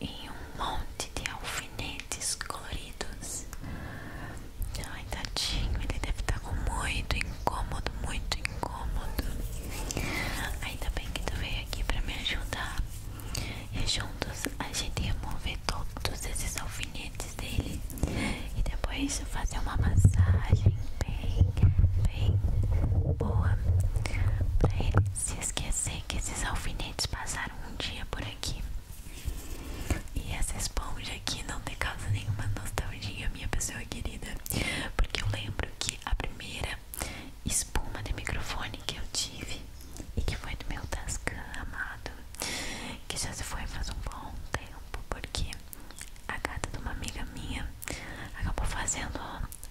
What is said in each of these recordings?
e um monte de alfinetes coloridos. Ai, tadinho, ele deve estar tá com muito incômodo, muito incômodo. Ainda bem que tu veio aqui para me ajudar. E juntos a gente ia mover todos esses alfinetes dele e depois fazer uma massagem bem, bem boa pra ele se esquecer que esses alfinetes passaram um dia por aqui. E essa esponja aqui não te causa nenhuma nostalgia, minha pessoa querida, porque eu lembro que a primeira espuma de microfone que eu tive e que foi do meu Tascam amado, que já se foi faz um bom tempo, porque a gata de uma amiga minha acabou fazendo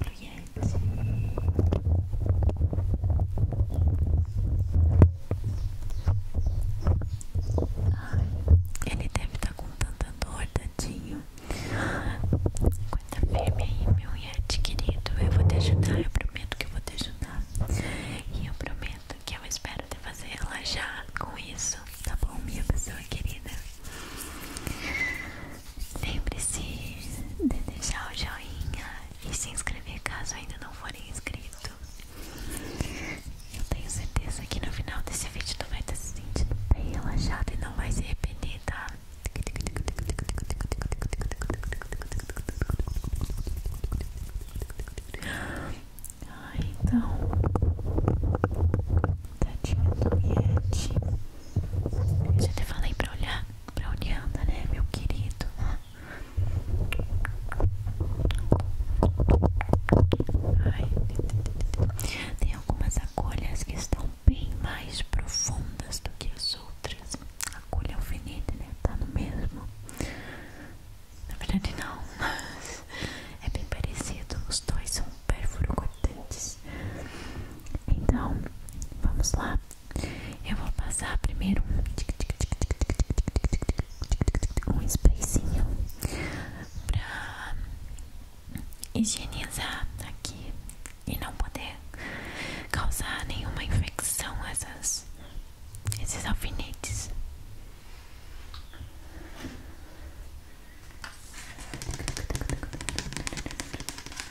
pro Yeti. Ai, ele deve estar tá com tanta dor, tadinho. Aguenta firme aí, meu Yeti querido. Eu vou te ajudar, eu prometo que eu vou te ajudar. E eu prometo que eu espero te fazer relaxar com isso, tá bom, minha pessoa querida? Lembre-se de deixar o joinha e se inscrever caso ainda não for inscrito. Eu tenho certeza que no final desse vídeo tu vai estar se sentindo bem relaxado e não vai se arrepender, tá? Ah, então, tadinho tá do já te falei pra olhar pra onde anda, né, meu querido? Tem algumas agulhas que estão bem mais profundas do que as outras. A agulha alfinete, é né? Tá no mesmo. Na verdade, não, mas é bem parecido. Os dois são perfurocortantes. Então, vamos lá. Eu vou passar primeiro um, um sprayzinho pra higienizar aqui e não poder causar nenhuma infecção essas, esses alfinetes.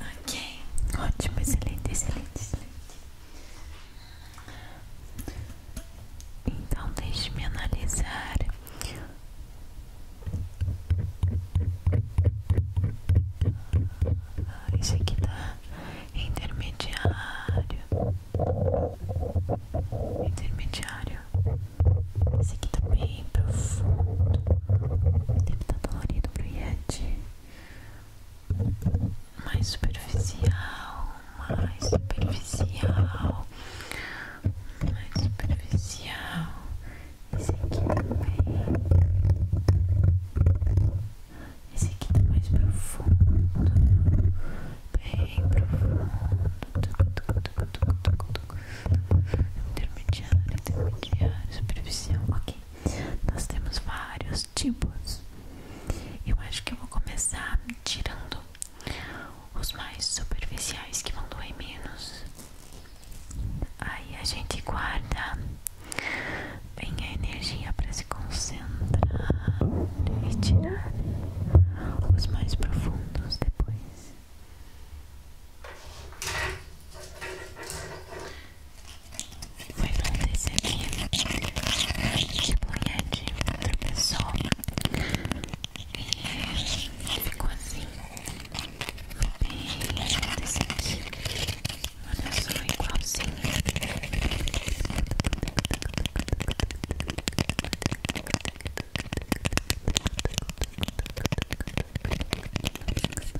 Ok, ótimo, excelente, excelente, excelente. Então deixe-me analisar. Ah, esse aqui tá intermediário. Intermediário. Esse aqui tá bem profundo. Deve estar tá dolorido pro Yeti mais superficial, mais superficial, mais superficial. Esse aqui também. Esse aqui tá mais profundo, bem profundo. Intermediário, intermediário, superficial. Ok, nós temos vários tipos. Eu acho que eu vou começar tirando os mais superficiais que vão doer menos. Aí a gente guarda bem a energia para se concentrar e tirar os mais profundos depois. Foi não receber de punhadinho de outra pessoa e ficou assim. E desse aqui, olha só, igualzinho.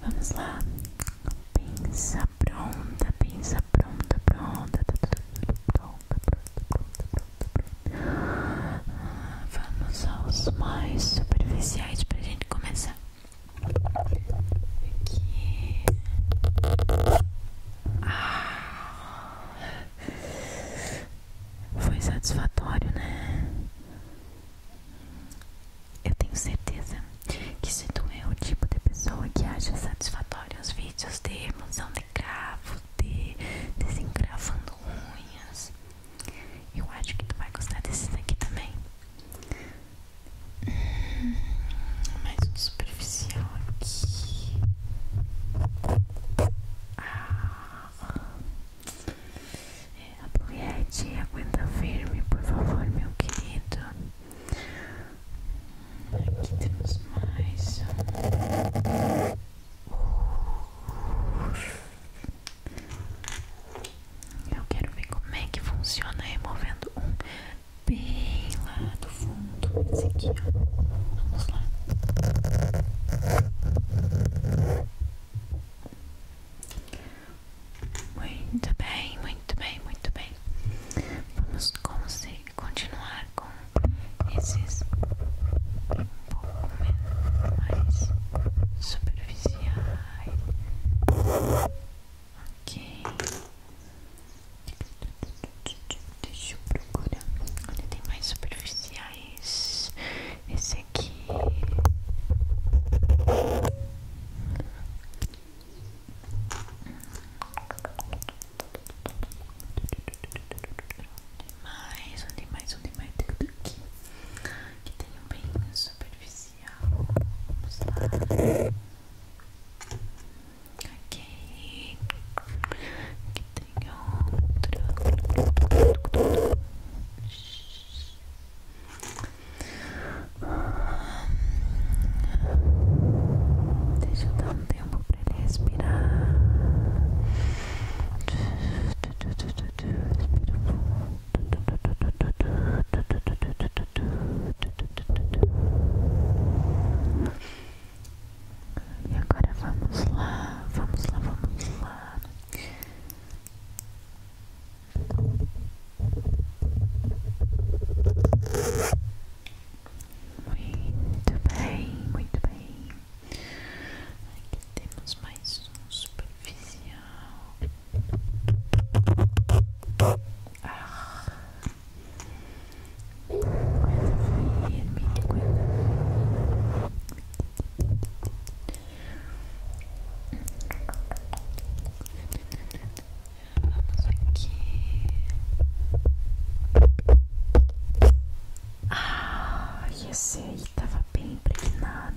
Vamos lá. Pensa pronta, pensa pronta, pronta, tá tudo pronta, pronta, pronta, pronta, Vamos aos mais superficiais pra gente começar. Aqui. Ah. Foi satisfatório, né? Eu tenho certeza que se tu é o tipo de pessoa que acha satisfatório os vídeos de emoção de gravo, de desencravando unhas, eu acho que tu vai gostar desses aqui também. Hum, mais superficial aqui. Ah. É, Apoiete, aguenta firme, por favor, meu querido. Aqui temos mais Eu quero ver como é que funciona removendo um bem lá do fundo. Esse aqui, ó. Vamos lá. Muito bem, muito bem, muito bem. Vamos continuar com esses um pouco mais superficiais. Ok. Deixa eu procurar. Olha, tem mais superficiais. Esse esse aqui. Mais, um mais, um de aqui. Que tem um bem superficial. Vamos lá. Ok. Aqui tem outro. Deixa eu dar um tempo para ele respirar. Respira fundo. E agora vamos lá, vamos lá, vamos lá. Muito bem, muito bem. Aqui temos mais um superficial. Ah. Coisa feia, minha aqui. Ah, esse aí tava bem impregnado.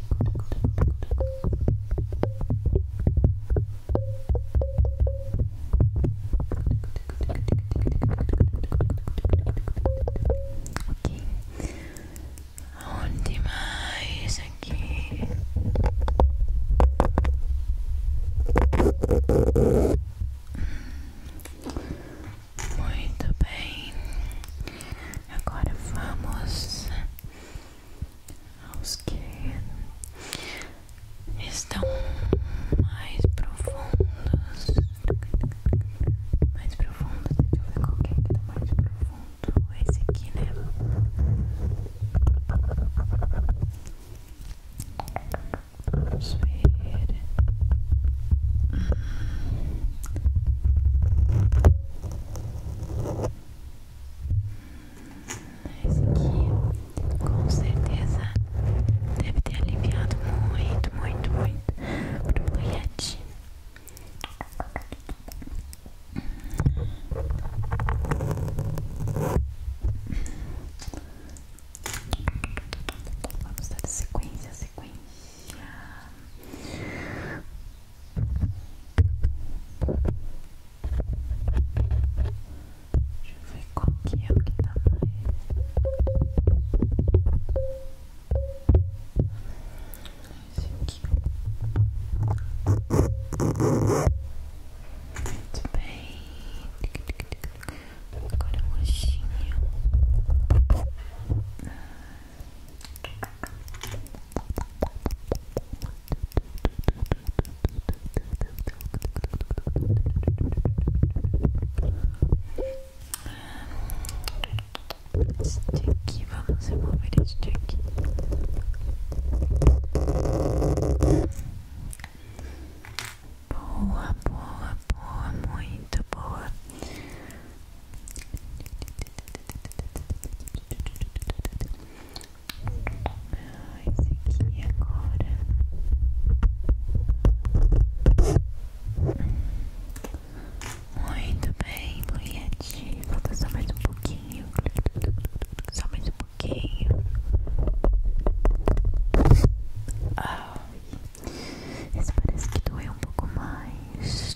Ok, onde mais aqui? Hum, muito bem, agora vamos os que estão mais profundos, mais profundos, deixa eu ver qual que é que tá mais profundo, esse aqui, né? Vamos ver. Hum. Esse aqui, com certeza, deve ter aliviado muito, muito, muito o meu boiate. Vamos dar sequência, sequência. Deixa eu ver qual que é o que tá mais. Esse aqui. Muito bem. Agora é o roxinho. Ah, Sticky, vamos remover este aqui. Boa, boa, boa, muito boa. Ah, esse aqui agora. Muito bem, Luiette. Tá Falta só mais um pouquinho. Só mais um pouquinho. Ah, esse parece que doeu um pouco mais.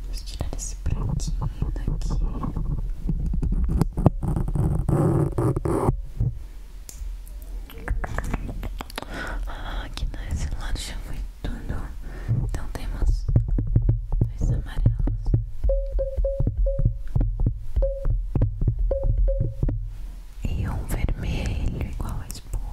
Vamos tirar esse branquinho daqui. Ah, aqui nesse lado já foi tudo. Então temos dois amarelos. E um vermelho igual a espuma.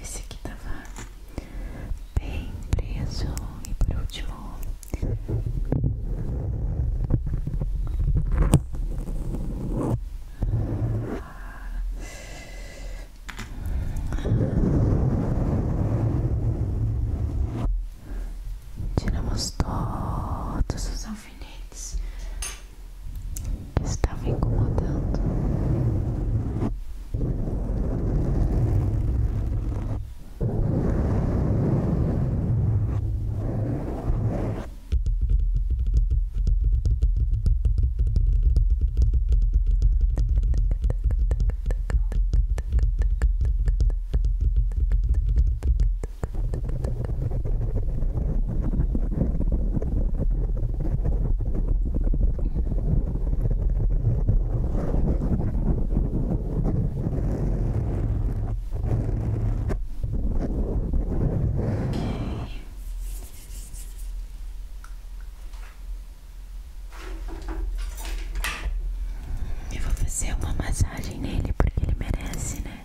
Esse aqui tava bem preso. E por último, tiramos todos os alfinetes está me incomodando. Eu vou fazer uma massagem nele porque ele merece, né?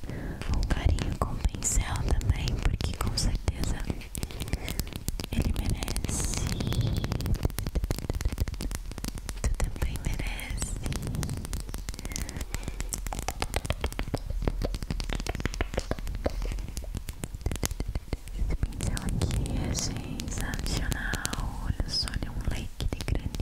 um carinho com o pincel também, porque com certeza ele merece. Tu também merece. Esse pincel aqui é sensacional. Olha só, ele é um leque de grande.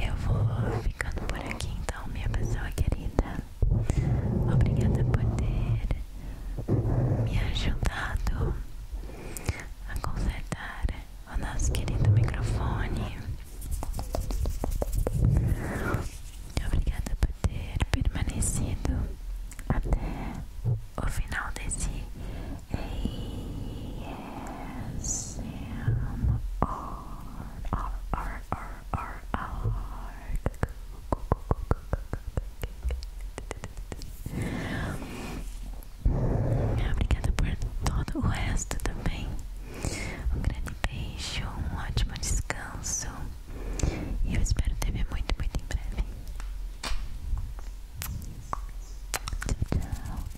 Eu vou ficando por aqui então, minha pessoa querida. Obrigada por ter me ajudado a consertar o nosso querido microfone. Obrigada por ter permanecido até o final desse ASMR Obrigada por todo o resto também. Um grande beijo, um ótimo descanso. E eu espero te ver muito, muito em breve. Tchau, tchau.